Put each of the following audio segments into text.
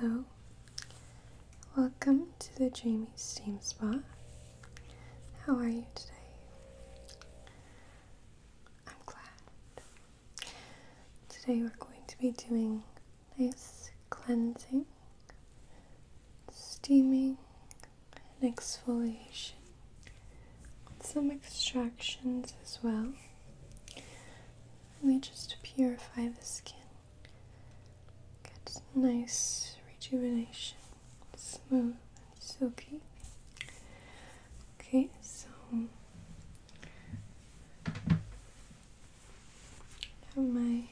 Hello, welcome to the Jamie Steam Spa. How are you today? I'm glad. Today we're going to be doing face cleansing, steaming, and exfoliation. Some extractions as well. Really just purify the skin. Get nice rejuvenation. Smooth and silky. Okay, so have my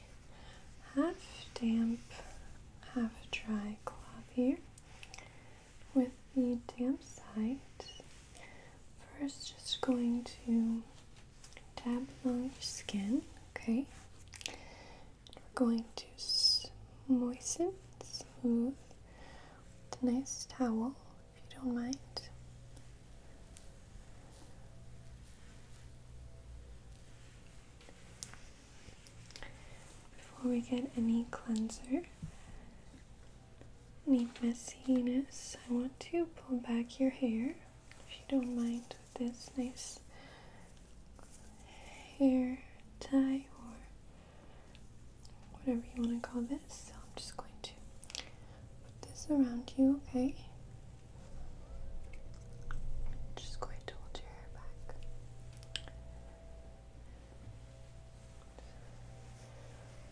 half damp, half dry cloth here with the damp side First, just going to dab along your skin, okay? We're going to moisten, smooth with a nice towel, if you don't mind. Before we get any cleanser, Need messiness, I want to pull back your hair, if you don't mind, with this nice hair tie or whatever you want to call this. So I'm just going to put this around you, okay? just going to hold your hair back.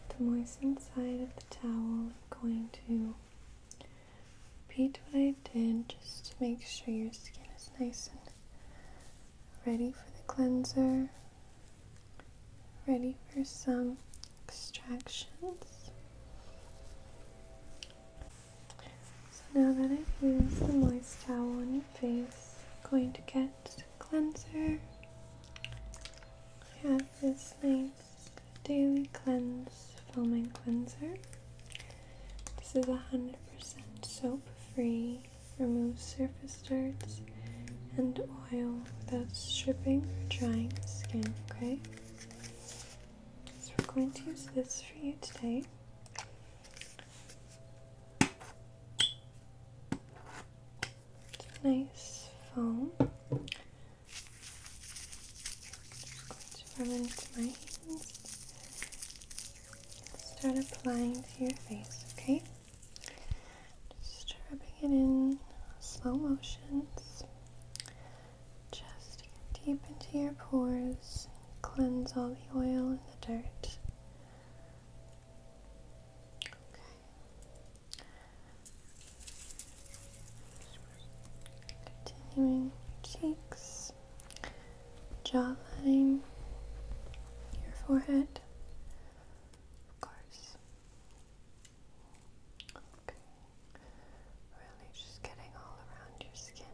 To moisten side of the towel, I'm going to repeat what I did just to make sure your skin is nice and ready for the cleanser, ready for some extractions. So now that I've used the moist towel on your face, going to get cleanser. I this nice daily cleanse foaming cleanser. This is 100% soap free, removes surface dirt and oil without stripping or drying the skin, okay? So we're going to use this for you today nice foam. just going to rub it into my hands. Start applying to your face, okay? Just rubbing it in slow motions. Just get deep into your pores, cleanse all the oil and the dirt. Okay. Continuing cheeks, jawline, your forehead, of course. Okay. Really just getting all around your skin,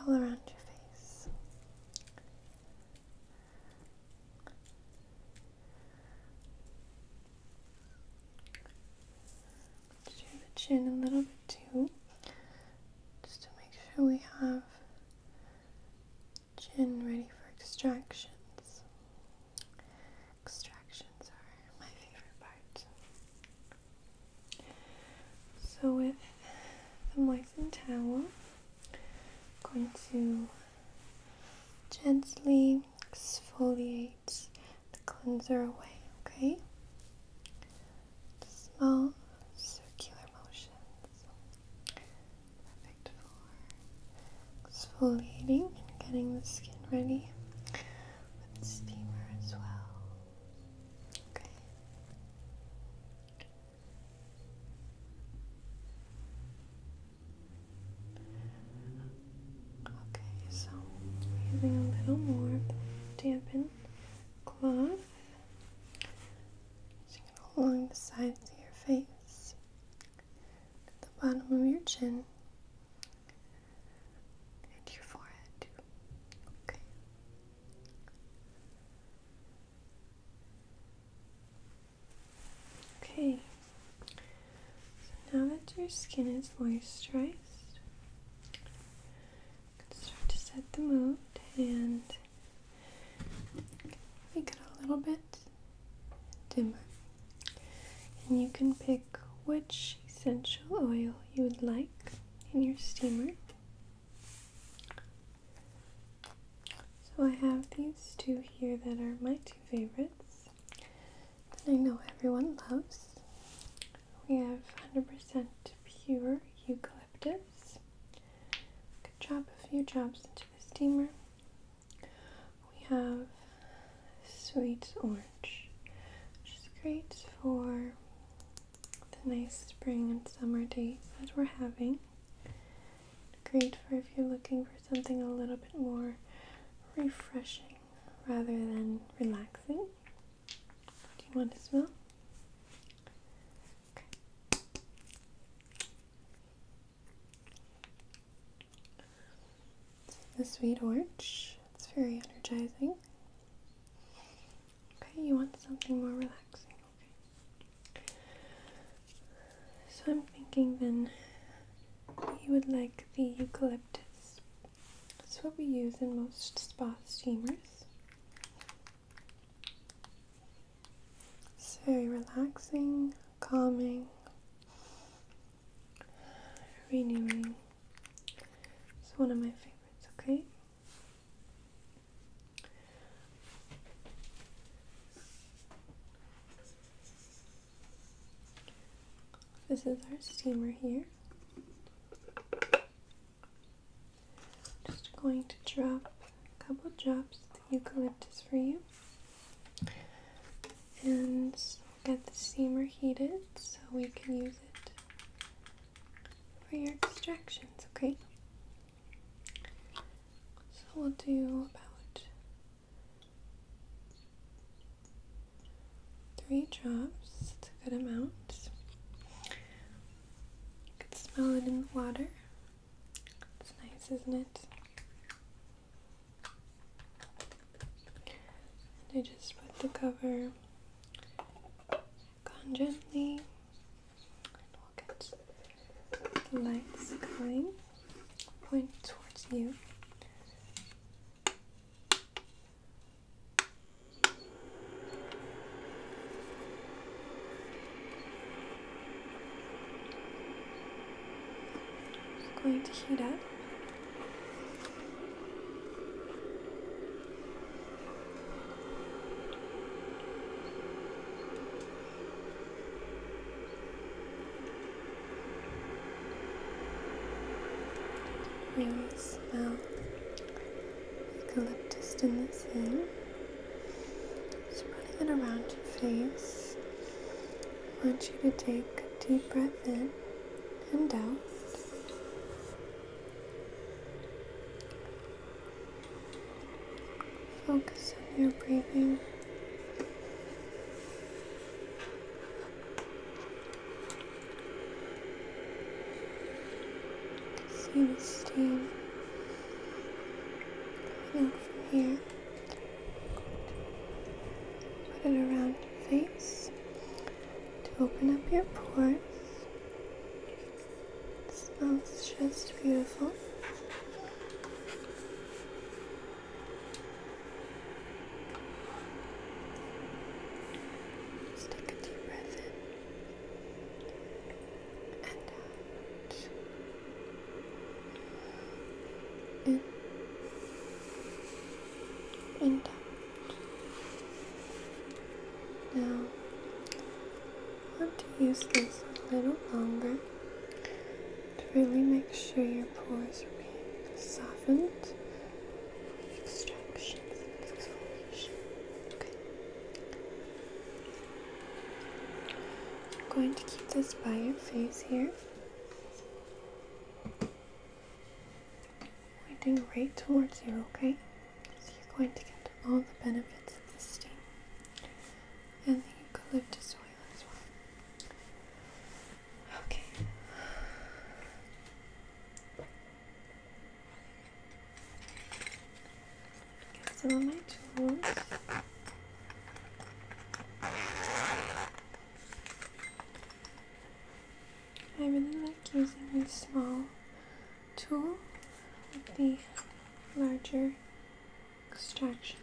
all around your face. Do the chin a little bit too, just to make sure we have chin ready for extractions. Extractions are my favorite part. So with the moistened towel, going to gently exfoliates the cleanser away, okay? Small circular motions. Perfect for exfoliating and getting the skin ready with steamer as well. Okay. Okay, so using a little more dampened cloth, along the sides of your face, at the bottom of your chin, and your forehead. Okay. Okay, so now that your skin is moisturized, you can start to set the mood and make it a little bit dimmer. And you can pick which essential oil you would like in your steamer. So I have these two here that are my two favorites that I know everyone loves. We have 100% pure eucalyptus. Could drop a few drops into the steamer. We have sweet orange, which is great for the nice spring and summer days that we're having. Great for if you're looking for something a little bit more refreshing rather than relaxing. Do you want to smell? The sweet orange. It's very energizing. Okay, you want something more relaxing. Okay. So I'm thinking then you would like the eucalyptus. That's what we use in most spa steamers. It's very relaxing, calming, renewing. It's one of my favorites, okay? This is our steamer here. Just going to drop a couple drops of the eucalyptus for you. And get the steamer heated so we can use it for your extractions, okay? So we'll do about Three drops, it's a good amount. You can smell it in the water. It's nice, isn't it? I just put the cover on gently, and we'll get the lights going point towards you. It's going to heat up. We will smell eucalyptus in this in. Spreading it around your face. I want you to take a deep breath in and out. Focus on your breathing. See the steam coming out from here. Put it around your face to open up your pores. It smells just beautiful take a deep breath in and out. In and out. Now, I want to use this a little longer to really make sure your pores are being softened for extractions and exfoliation. Okay. I'm going to keep this by your face here. Pointing right towards you, okay? So you're going to get all the benefits of the steam and then you the eucalyptus oil as well. Okay. Get some of my tools. I really like using this small tool with the larger extraction.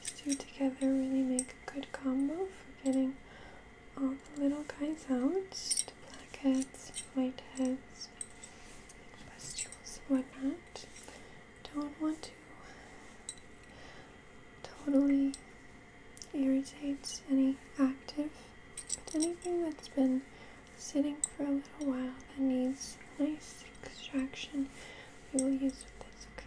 These two together really make a good combo for getting all the little guys out, blackheads, whiteheads, pustules, and whatnot. Don't want to totally irritate any active, but anything that's been sitting for a little while that needs nice extraction we will use with this, okay?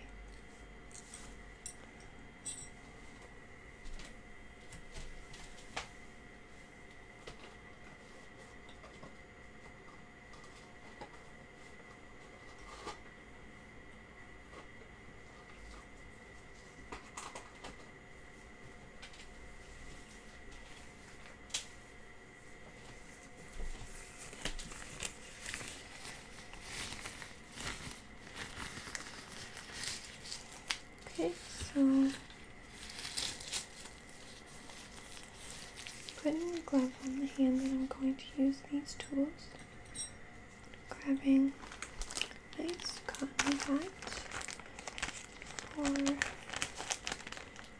Okay, so putting the glove on the hand that I'm going to use these tools, grabbing a nice cotton hat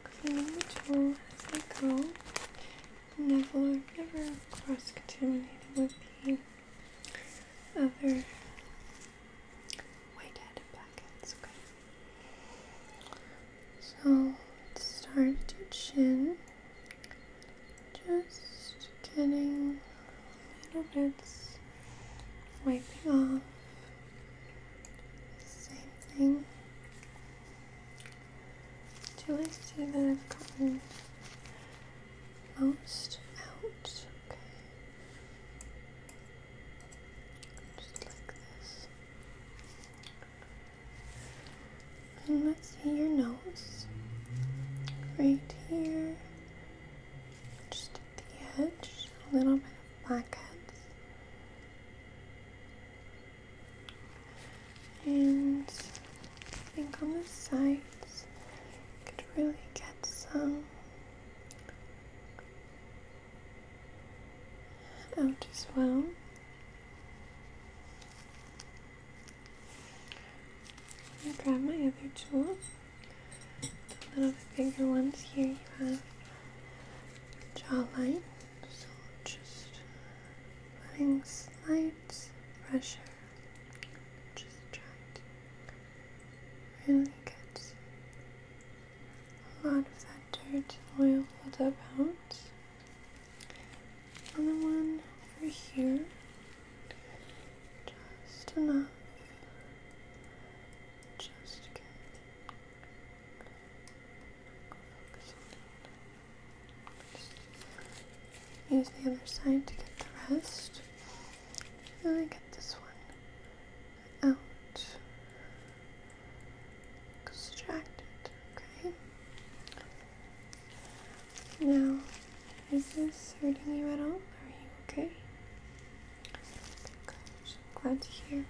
cleaning the tool as I go. Never, never cross-contaminated with the other white-headed packets. Okay. So let's start at chin. Just getting little bits, wiping off. Same thing do I see that I've gotten most out? Okay. Just like this. And let's see your nose. Right here. Just at the edge. A little bit of blackheads. And I think on the sides, I could really get some out as well. i grab my other tool. one of the bigger ones here you have jawline. So just running slight pressure. Just to really get a lot of that dirt oil buildup out. the one over here. Just enough. Just again. Focus Use the other side to get the rest. And I get this one out. Extract it, okay? Now, is this hurting you at all? Are you okay? Good. Glad to hear.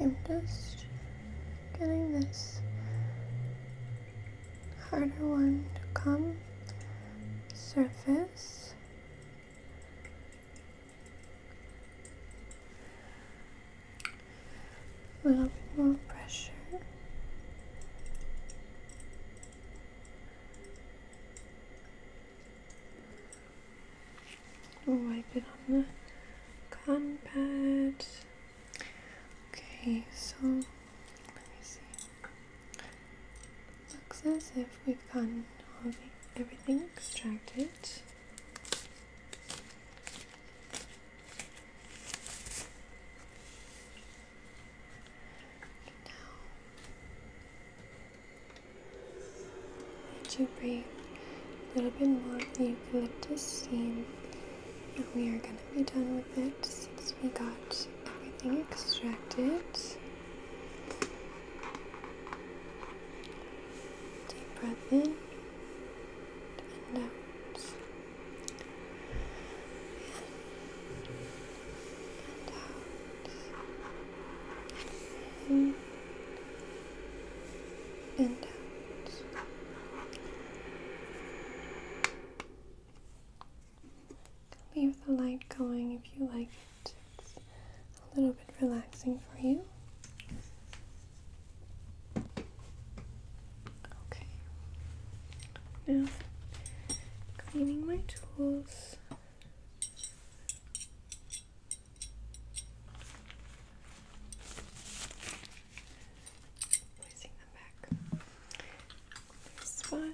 Okay, I'm just getting this harder one to come surface. A little bit more pressure. wipe it on the cotton pad. Okay, so let me see. Looks as if we've gotten everything extracted. To breathe a breath a little bit more of the eucalyptus steam, and we are going to be done with it since we got everything extracted. Deep breath in and out, in and out, in Leave the light going if you like it. It's a little bit relaxing for you. Okay. Now, cleaning my tools. Placing them back. Their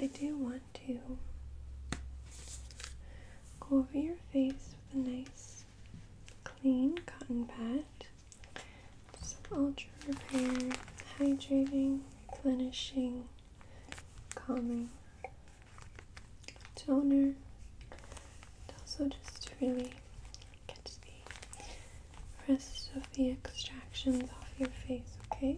I do want to go over your face with a nice clean cotton pad. Some ultra repair, hydrating, replenishing, calming toner, and also just to really get the rest of the extractions off your face, okay?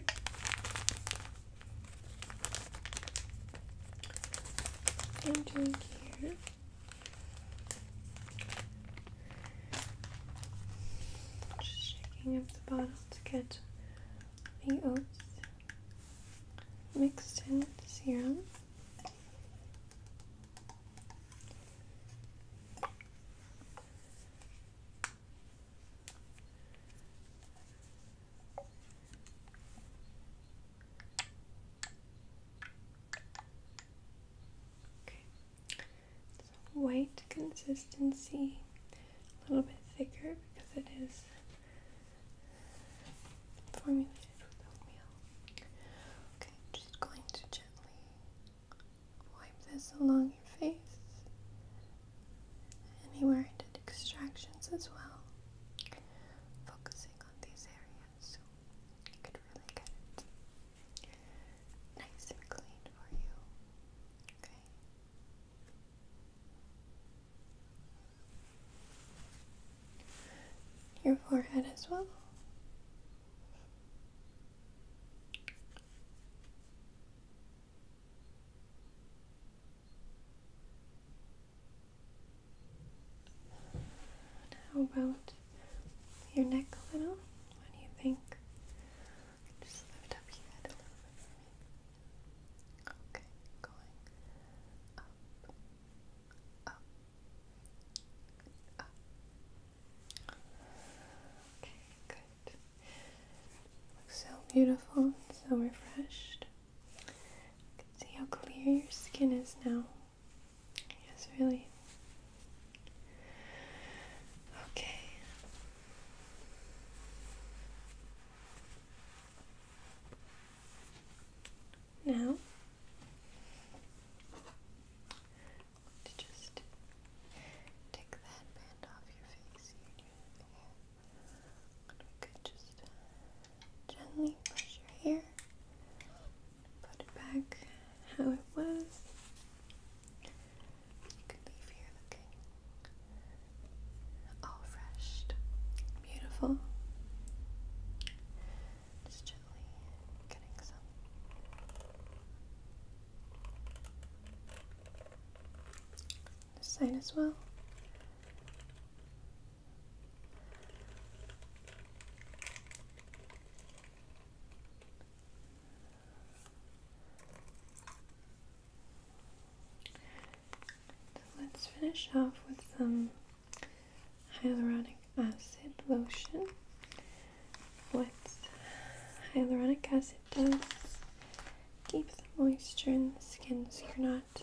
What I'm doing here. Just shaking up the bottle to get the oats mixed in with the serum white consistency, a little bit thicker because it is formulated with oatmeal. Okay, just going to gently wipe this along your face, anywhere I did extractions as well, focusing on these areas so you could really get it nice and clean for you. Okay your forehead as well. How about your neck a little? What do you think? Just lift up your head a little Okay, going up, Okay, good. Looks so beautiful, so refreshed. see how clear your skin is now. Yes, really. Okay. Now, to just take the headband off your face here, we could just gently brush your hair, put it back how it was. You could leave here looking all freshed Beautiful. Just gently getting some. This side as well. let's finish off with some hyaluronic acid lotion. What hyaluronic acid does keep the moisture in the skin so you're not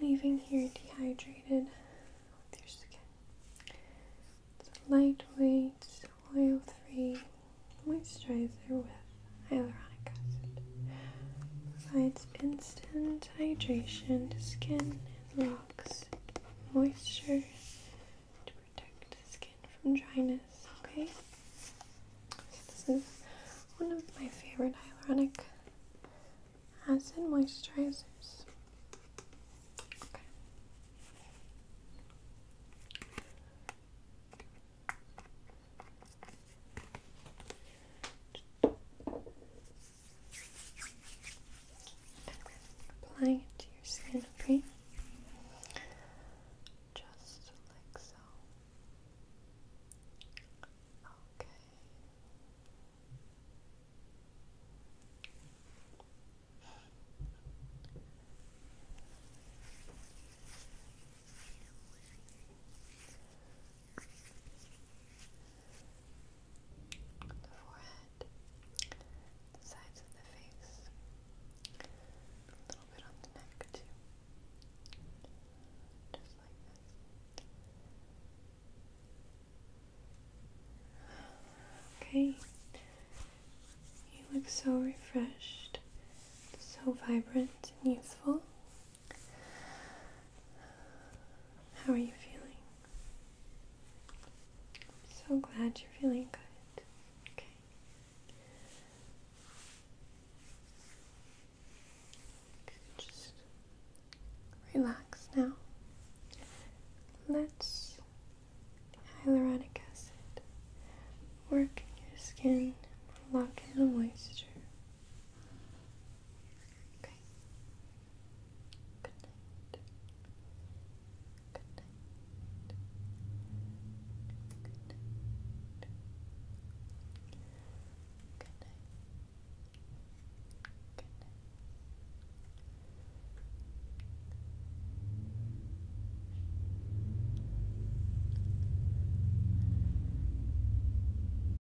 leaving here dehydrated your skin. It's lightweight, oil free moisturizer with hyaluronic acid. it's instant hydration to skin and locks, moisture to protect the skin from dryness. Okay, this is one of my favorite hyaluronic acid moisturizers. Apply it to your skin, Just like so. Okay the forehead, sides of the face, a little bit on the neck too. Just like this. Okay. You look so refreshed, so vibrant and youthful. How are you feeling? I'm so glad you're feeling good. Okay. Just relax now. Let's hyaluronic acid work in your skin, lock in the moisture. Okay. Good night. Good night. Good night. Good night. Good night.